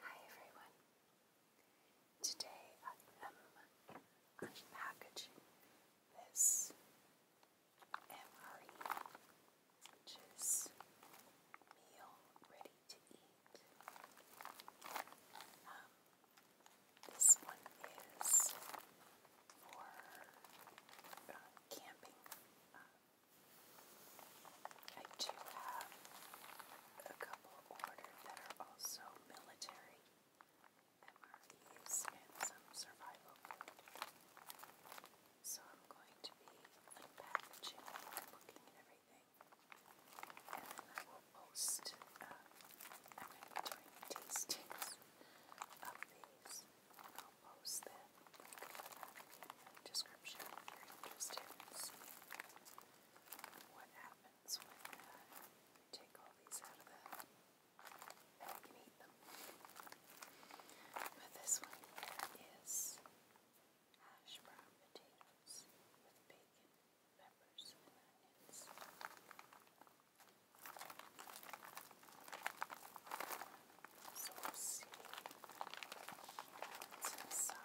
Hi everyone. Today I am unpackaging this MRE, which is meal ready to eat. Um, this one is for uh, camping uh, I do have a couple ordered that are also military MREs and some survival food. So I'm going to be unpackaging and looking at everything. And then I will post, uh, i of these and I'll post the description if you're interested what happens uh, take all these out of the bag and eat them. But this one here is hash brown potatoes with bacon, peppers, and onions. So we'll see what's inside. All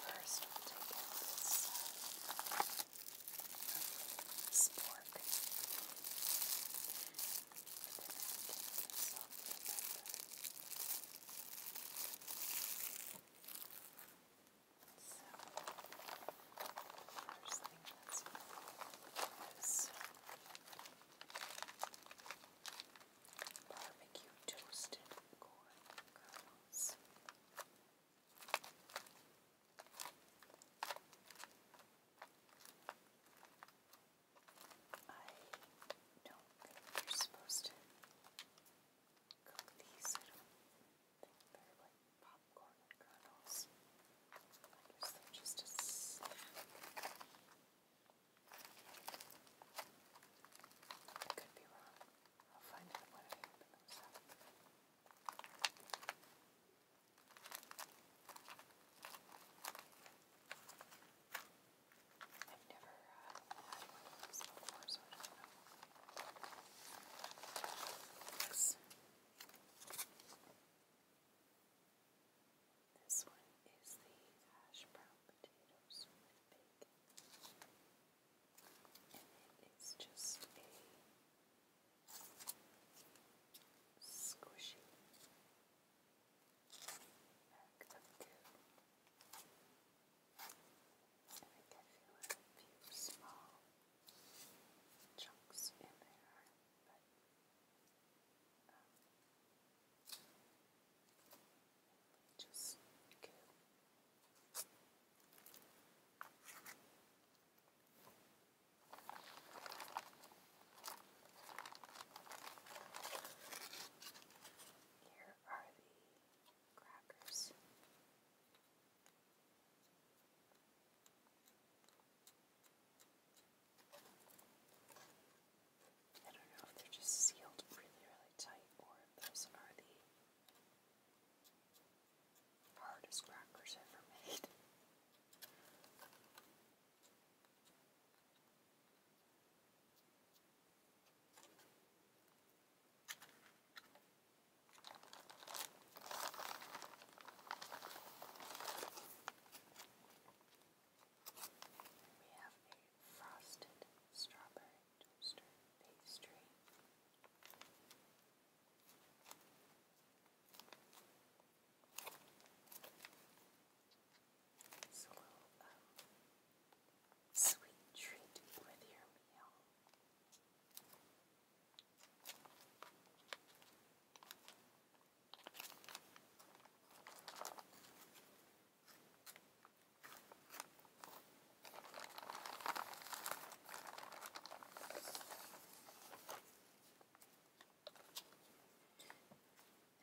First, we'll take out this, this pork. But then I'll take this off the pepper. So, first thing that's important is barbecue toasted corn kernels. I don't think you're supposed to cook these little things. They're like popcorn kernels. I guess they're just a snack. I could be wrong. I'll find out when I open those up. I I've uh, This. one is the hash brown potatoes with bacon. And it is just a squishy bag of goo. I think a few small chunks in there, but just Here are the crackers. I don't know if they're just sealed really, really tight or if those are the hardest crackers ever made. We have a frosted strawberry toaster pastry. It's a little sweet treat with your meal.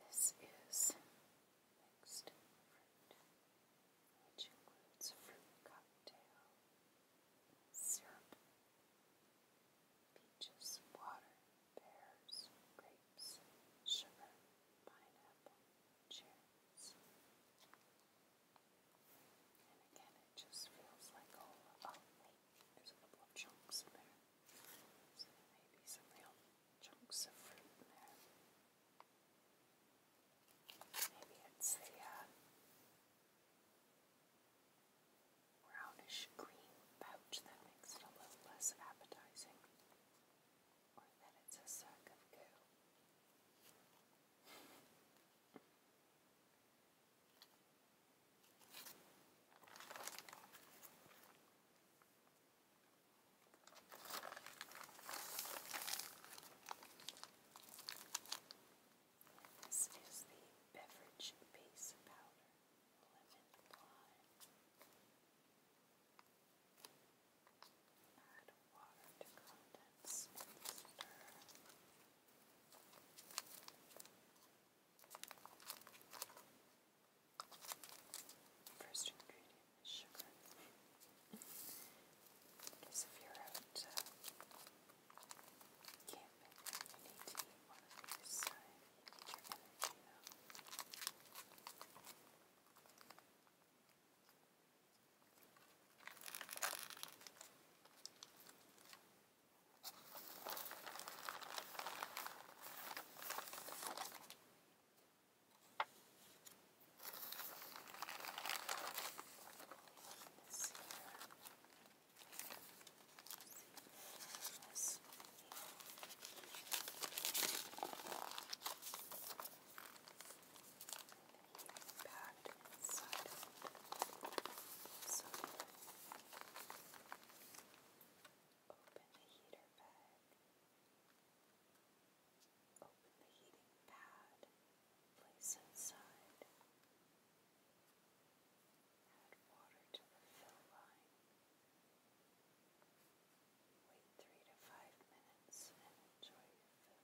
This is mixed fruit, which includes fruit cocktail, syrup, peaches, water, pears, grapes, sugar, pineapple, cherries. And again, it just feels like all, oh wait, there's a couple of chunks in there. So there may be some real chunks of fruit in there. Maybe it's the uh, brownish green pouch that makes it a little less appetizing, or that it's a sack of goo. This is the beverage base powder, Add water to contents and stir. First ingredient is sugar. Because if you're out uh, camping, you need one of these. Uh, you need your energy now. Now Let's see here. Let's see Packed inside. So open the heater bag. Open the heating pad, place inside, add water to the fill line, wait three to five minutes and enjoy your food.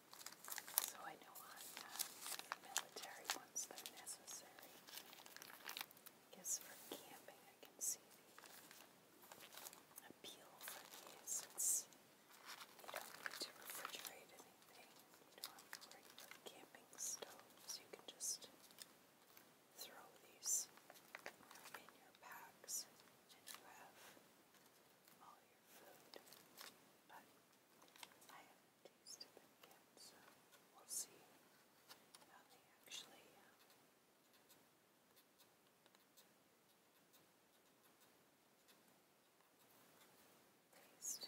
So I know on uh, military ones they're necessary. I guess for camping I can see the appeal for these. you don't need to refrigerate anything. You don't have to worry about camping You can just throw these in your packs and you have all your food. But I have tasted them so we'll see how they actually um, taste.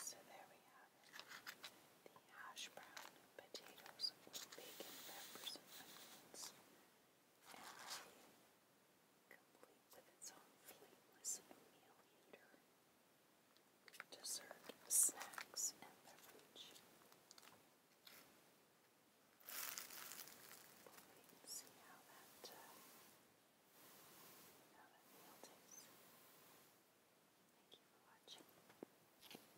So there we have it. The hash brown potatoes bacon, peppers, onions complete with its own flameless meal eater, dessert, snacks, and beverage. see how that, that meal tastes. Thank you for watching.